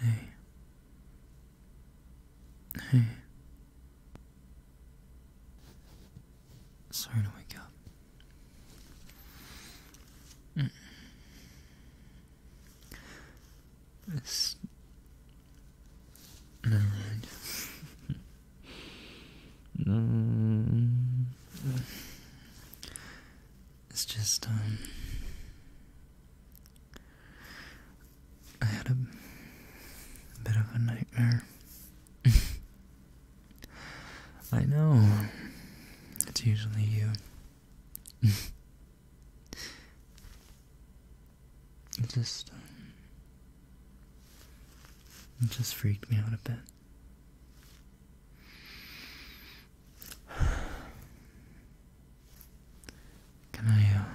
Hey. Hey. Sorry to wake up. Mm. This. Never mind. Mm. It's just, um, I had a, bit of a nightmare. I know. It's usually you. it just, um, it just freaked me out a bit. Can I, um,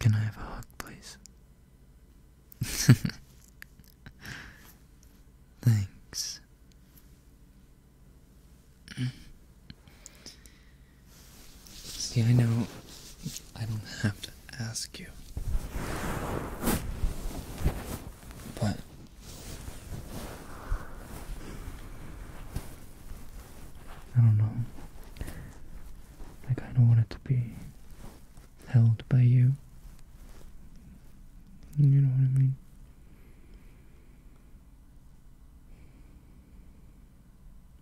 can I have a hug, please? Thanks. See, I know I don't have to ask you. But I don't know. I kind of want it to be held by you. You know what I mean?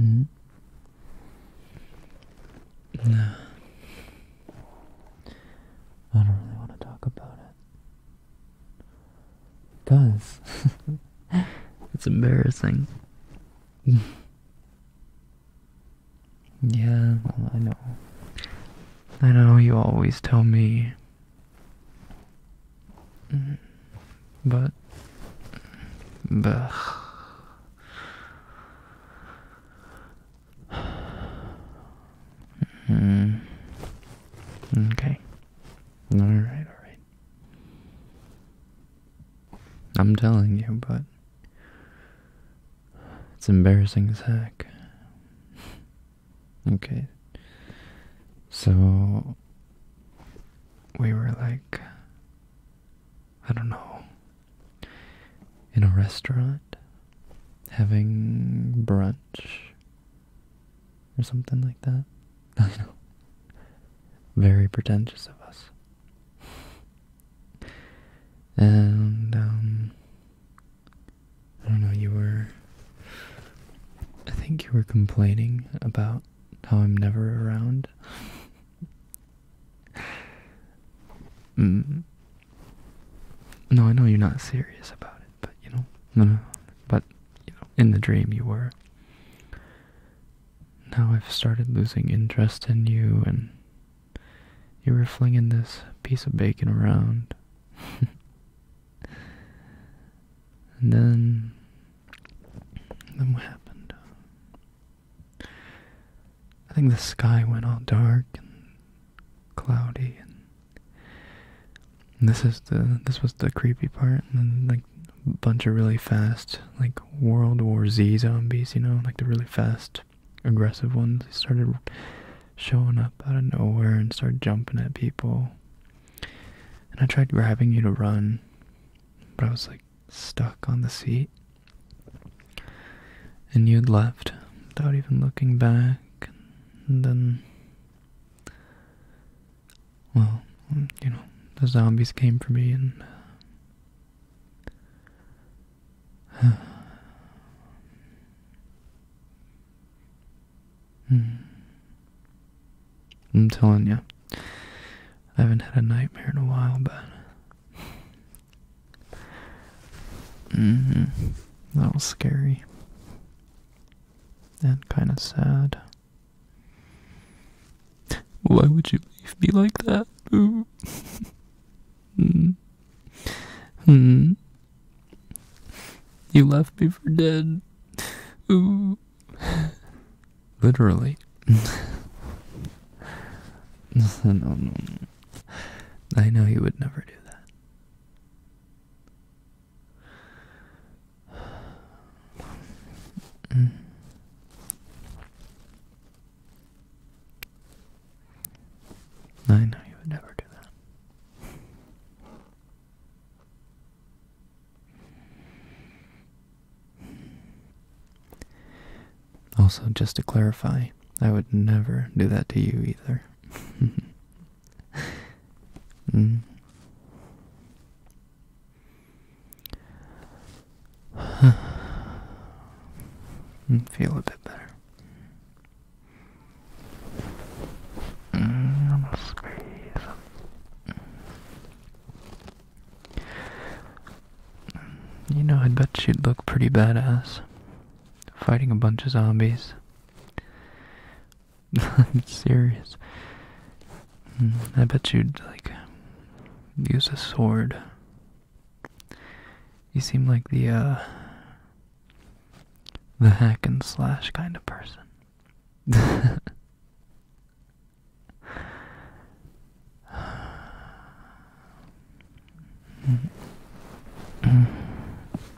Mm. Nah. I don't really want to talk about it. Because it's embarrassing. yeah, I know. I know you always tell me but. But. Mm. Okay. All right, all right. I'm telling you, but it's embarrassing as heck. Okay. So we were like I don't know in a restaurant having brunch or something like that. I know. Very pretentious of us. And um I don't know, you were. I think you were complaining about how I'm never around. Mm. No, I know you're not serious about it, but you know, no, no, but you know, in the dream you were. Now I've started losing interest in you, and you were flinging this piece of bacon around. and then. Then what happened? I think the sky went all dark and cloudy and. this is the this was the creepy part, and then like a bunch of really fast like World War Z zombies, you know, like the really fast aggressive ones started showing up out of nowhere and started jumping at people and i tried grabbing you to run but i was like stuck on the seat and you'd left without even looking back and then well you know the zombies came for me and Hmm. I'm telling you, I haven't had a nightmare in a while, but mm-hmm. that was scary and kind of sad. Why would you leave me like that? Hmm. Hmm. You left me for dead. Ooh. Literally. no, no, no. I know you would never do that. Hmm. I know you would never do that. Also, just to clarify, I would never do that to you either. Mm. Hmm. Hmm, feel a bit better. Mm, squeeze. Hmm. You know, i bet you would look pretty badass fighting a bunch of zombies. I'm serious. I bet you'd like use a sword you seem like the uh the hack and slash kind of person.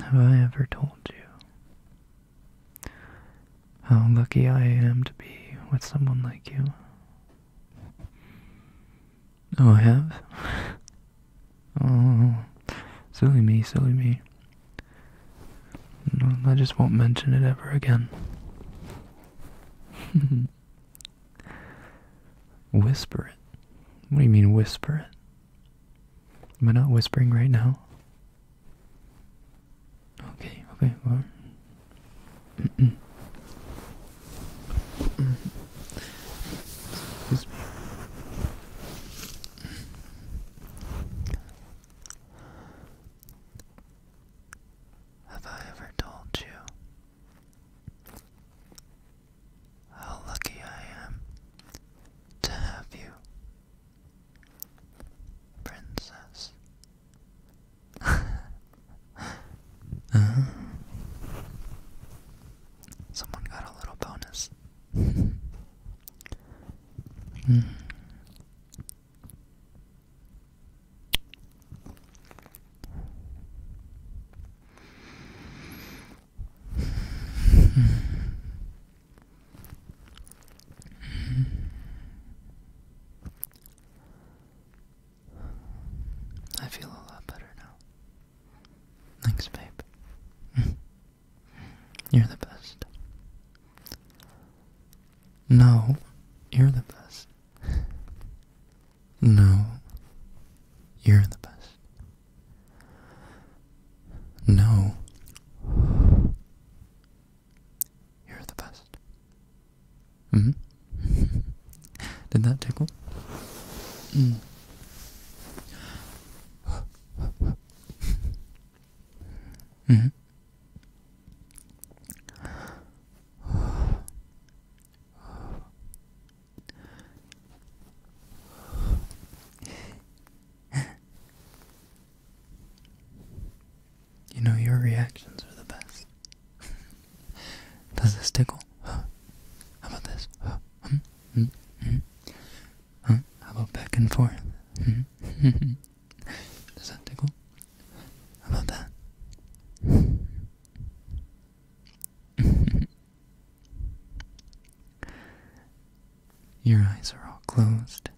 Have I ever told you how lucky I am to be with someone like you? Oh, I have? oh, silly me, silly me. I just won't mention it ever again. whisper it. What do you mean whisper it? Am I not whispering right now? Okay, okay, well. Have I ever told you how lucky I am to have you, Princess? Someone got a little bonus. mm. I feel a lot better now. Thanks, babe. You're the best. No, you're the best. No, you're the best. No, you're the best. hmm? Did that tickle? Mm. -hmm. You know, your reactions are the best. Does this tickle? How about this? Huh? -hmm. -hmm. hmm? Huh? How about back and forth? Hmm? Does that tickle? about that? Your eyes are all closed.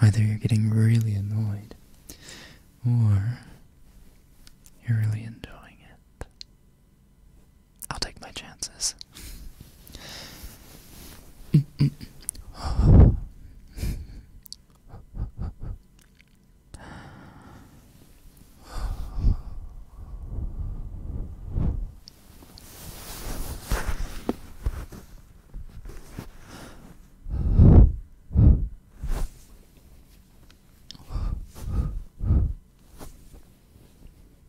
Either you're getting really annoyed, or you're really enjoying it. I'll take my chances.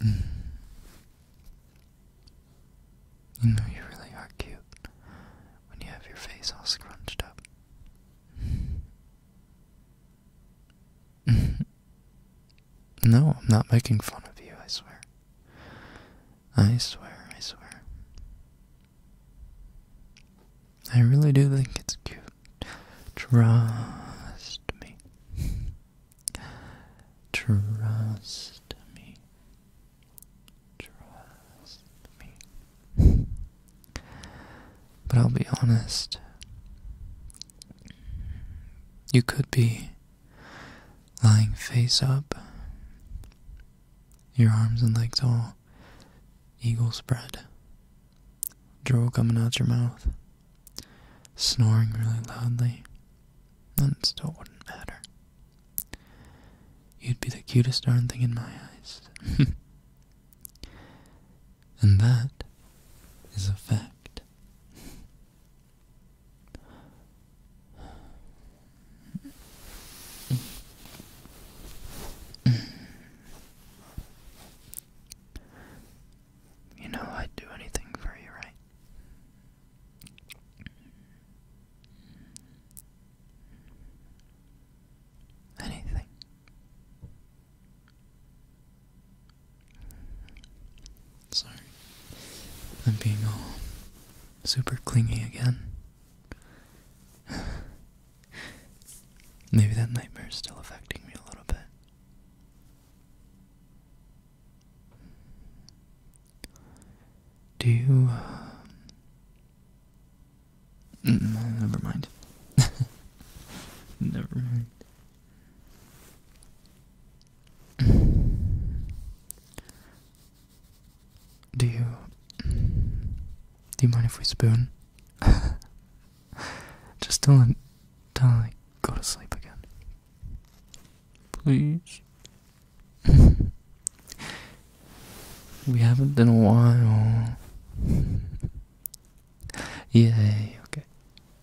Mm. You know, you really are cute when you have your face all scrunched up. no, I'm not making fun of you, I swear. I swear, I swear. I really do think it's cute. Trust me. Trust me. Trust me. But I'll be honest. You could be lying face up, your arms and legs all eagle spread, drool coming out your mouth, snoring really loudly, and it still wouldn't matter. You'd be the cutest darn thing in my eyes. and that is a fact. You know I'd do anything for you, right? Anything. Sorry. I'm being all super clingy again. Maybe that nightmare is still affecting me a little bit. Do you. Um, mm, never mind. never mind. Do you do you mind if we spoon? Just don't till I go to sleep again. Please. we haven't been a while. Yeah. okay.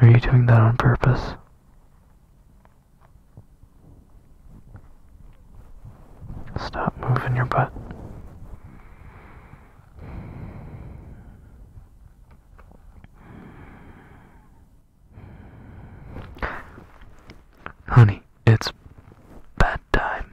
Are you doing that on purpose? Stop moving your butt. Honey, it's bedtime.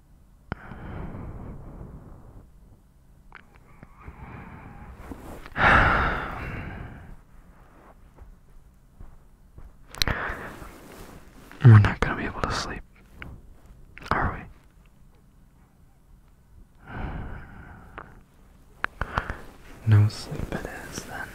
We're not going to be able to sleep, are we? No sleep it is then.